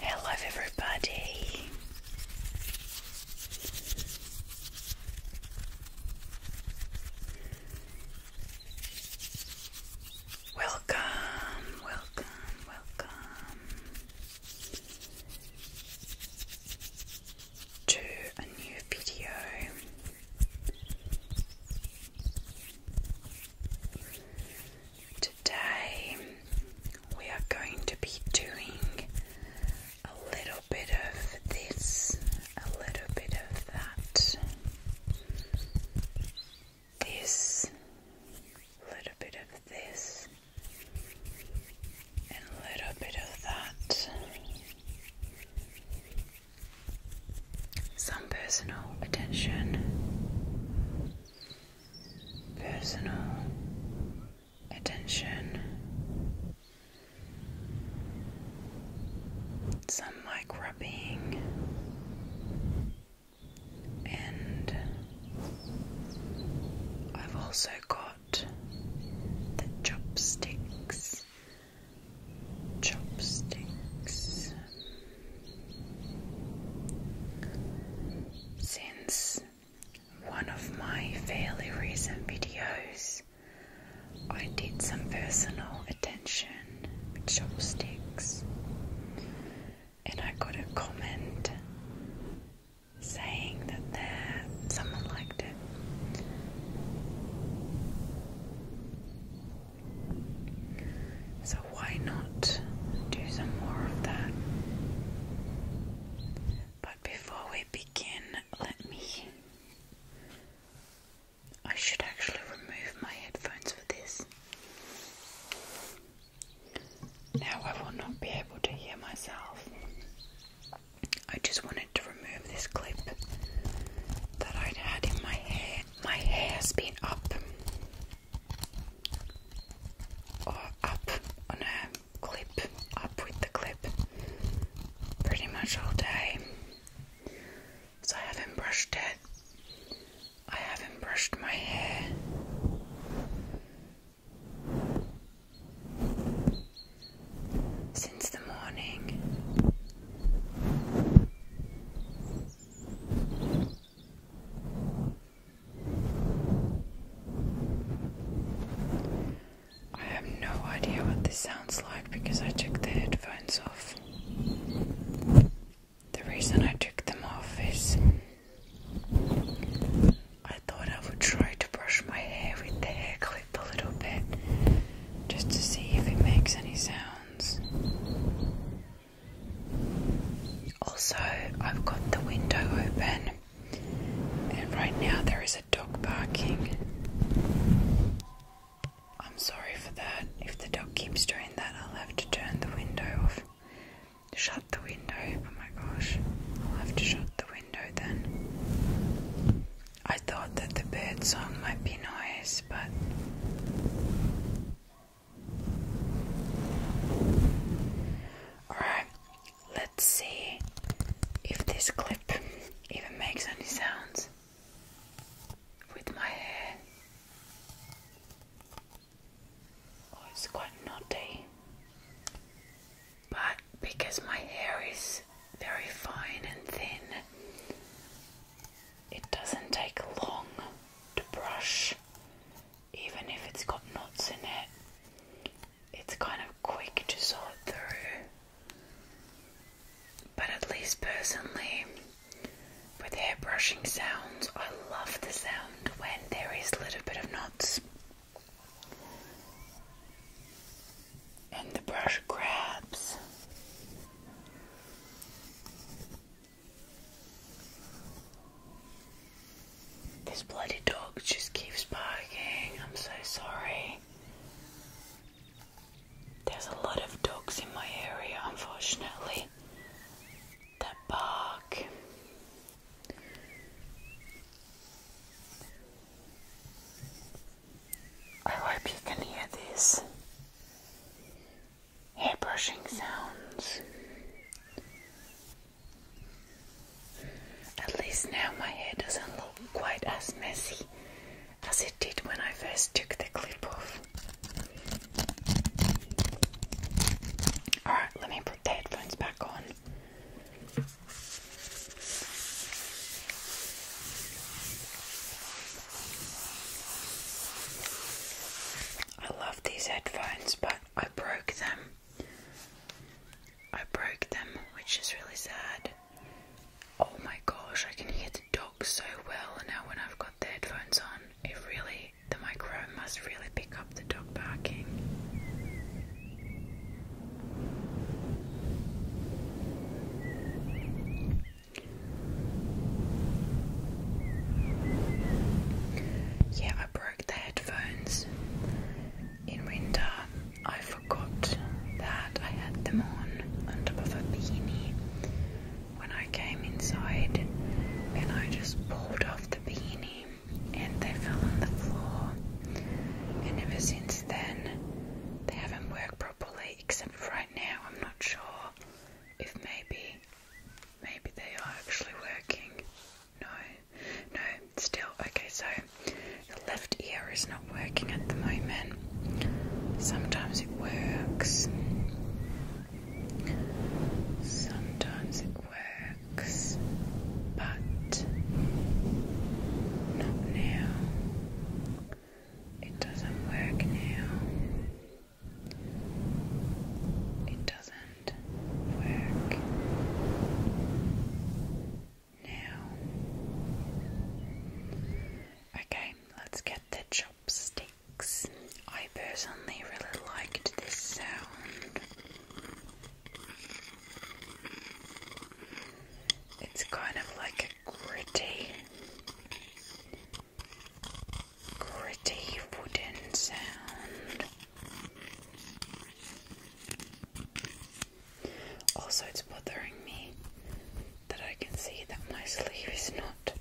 Hello, everybody. Welcome, welcome, welcome to a new video. Today we are going to be doing a little bit of this, a little bit of that, this, a little bit of this, and a little bit of that. Some personal attention personal attention. Some like and I've also got the chopsticks. Chopsticks since one of my fairly recent videos, I did some personal attention with chopsticks, and I got a comment saying that someone liked it. So why not do some more of that? But before we begin, let me. I should actually remove my headphones for this. Now I will not be able to hear myself. I just wanted to remove this clip that I'd had in my hair. My hair's been up up on a clip, up with the clip pretty much all day. So I haven't brushed it, I haven't brushed my hair. Since the morning, I have no idea what this sounds like because I took the headphones off. The reason I took them off is I thought I would try to brush my hair with the hair clip a little bit just to see if it makes any sounds. Also, I've got the window open, and right now there is a dog barking. I'm sorry for that. If the dog keeps doing that, I'll have to turn the window off. Shut the window. Oh my gosh. I'll have to shut the window then. I thought that the bird song might be noise, but Alright, let's see if this clip even makes any sounds with my hair. Oh, it's quite knotty. But because my hair is very fine and thin, it doesn't take long to brush even if it's got knots in it, it's kind of quick to sort through. But at least personally, with hair brushing sounds, I love the sound when there is a little bit of knots. And the brush grabs. This bloody dog just keeps barking. I'm so sorry. There's a lot of dogs in my area, unfortunately, that bark. I hope you can hear this hair brushing sounds. At least now my hair doesn't look quite as messy as it did when I first took the clip off. Alright, let me put the headphones back on. I love these headphones, but I broke them. I broke them, which is really sad. Oh my gosh, I can hear the dog so well now when I've got the headphones on. It really, the microphone must really pick up the dog barking. Yeah, I broke the headphones in winter. I forgot that I had them on on top of a beanie when I came inside, and I just pulled off the beanie and they fell on the floor. And ever since then, they haven't worked properly, except right now. I'm not sure if maybe Maybe they are actually working. No, no, still. Okay, so the left ear is not working at the moment. Sometimes it works. Sometimes it works, but not now. It doesn't work now. It doesn't work now. Okay, let's get the chopsticks. I personally really liked this sound. It's kind of like gritty gritty wooden sound. Also, it's bothering me that I can see that my sleeve is not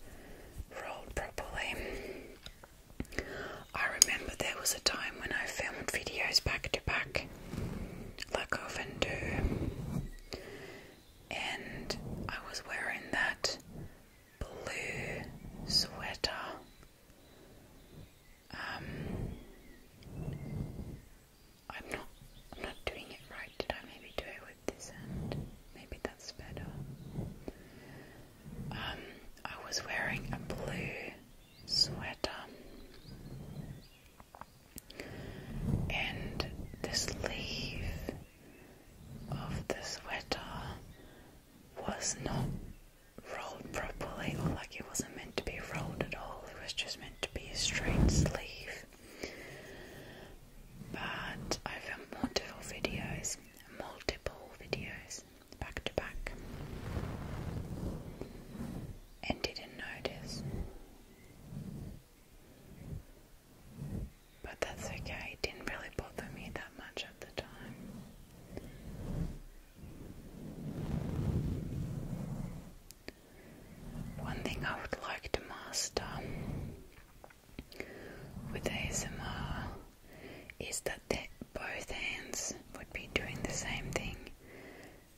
rolled properly. I remember there was a time when I filmed videos back to back, like I often do, and I was wearing that blue sweater. Um, I'm not. I'm not doing it right. Did I maybe do it with this end? Maybe that's better. Um, I was wearing a blue sweater, and the sleeve of the sweater was not rolled properly or like it wasn't meant to be rolled at all, it was just meant to be a straight sleeve. But I found multiple videos, multiple videos back to back, and didn't notice. But that's okay, it didn't really bother me that much at the time. One thing I would like to master with ASMR is that both hands would be doing the same thing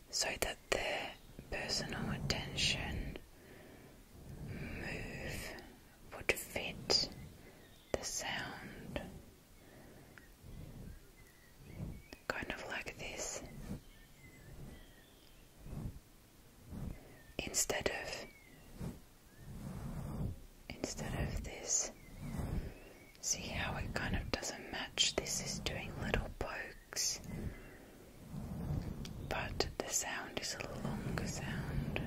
so that the personal attention move would fit the sound kind of like this instead of instead of this see how it kind of doesn't match this is doing little pokes but the sound is a longer sound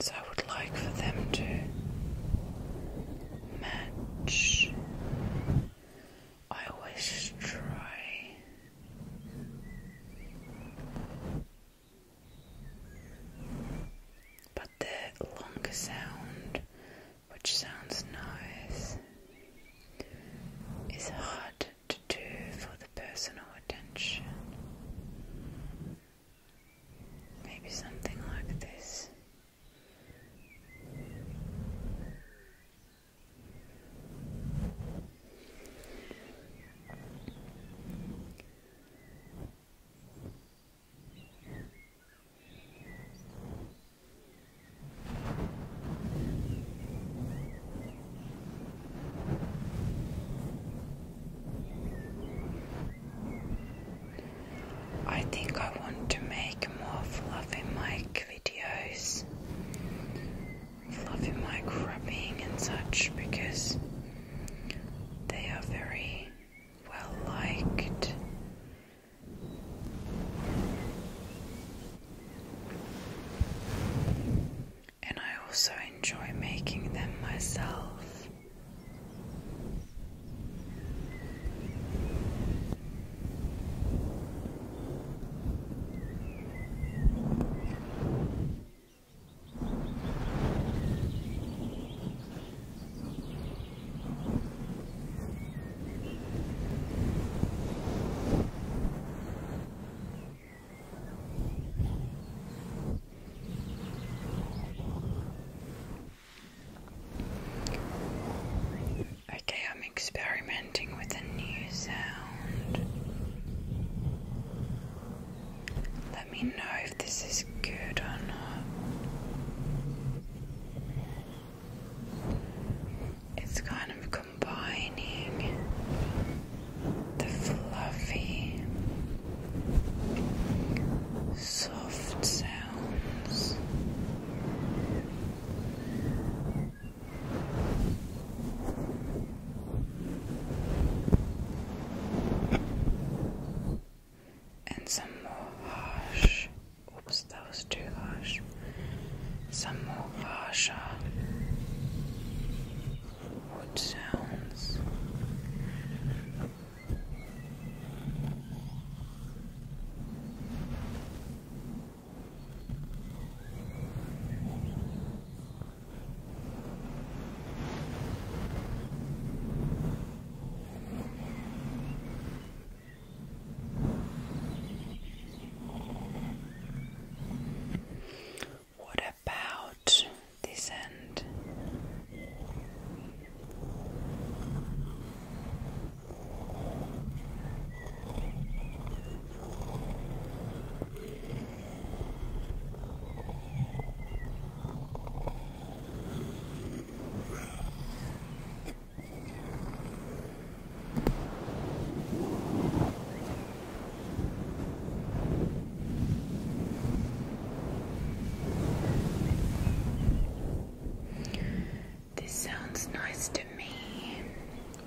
so I would like for them to match. I always try. But the longer sound, which sounds nice, is hard to do for the personal attention. Maybe something like this. I think I want to make more fluffy mic videos, fluffy mic rubbing and such because they are very well liked and I also enjoy making them myself. Okay, I'm experimenting with a new sound. Let me know if this is good or not. It's kind of combining the fluffy, soft sounds. And some more harsh. Oops, that was too harsh. Some more harsher, what sounds. What about this end. This sounds nice to me,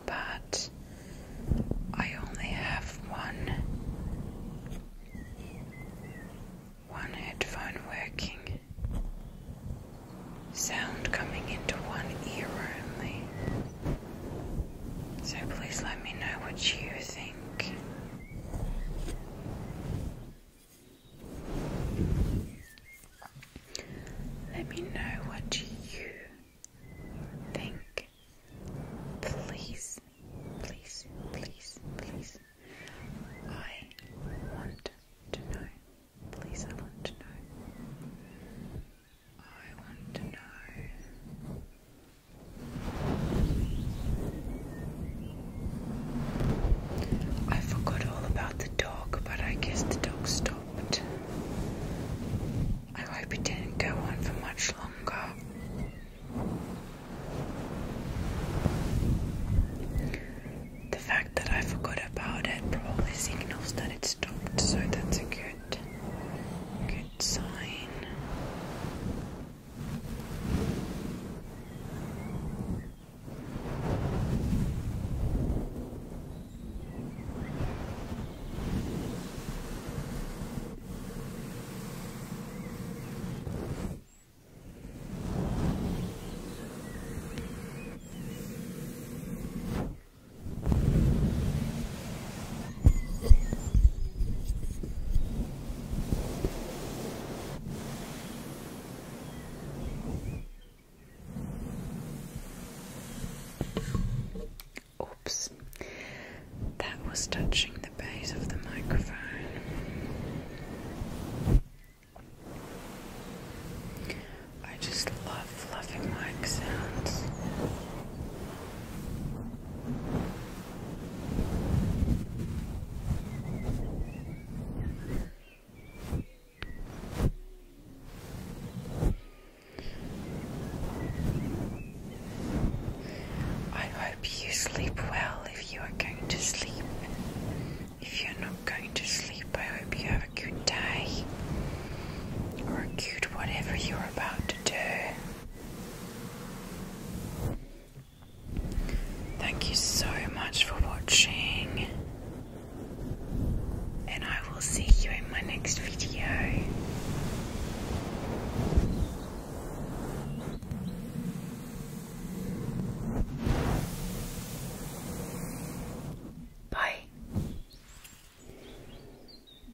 but I only have one one headphone working. Sound coming into one ear only. So please let me know what you think. Let me know what you think. Please, please, please, please. I want to know. Please, I want to know. I want to know. I forgot all about the dog, but I guess the dog stopped. I hope it didn't go on for much longer. The fact that I forgot about it probably signals that it stopped, so that's a good, sign. Oops, that was touching the base of the microphone. I just love fluffy mic sounds. I hope you sleep well if you are going to sleep. If you're not going to sleep, I hope you have a good day or a good whatever you're about to do. Thank you so much for watching, and I will see you in my next video. Bye.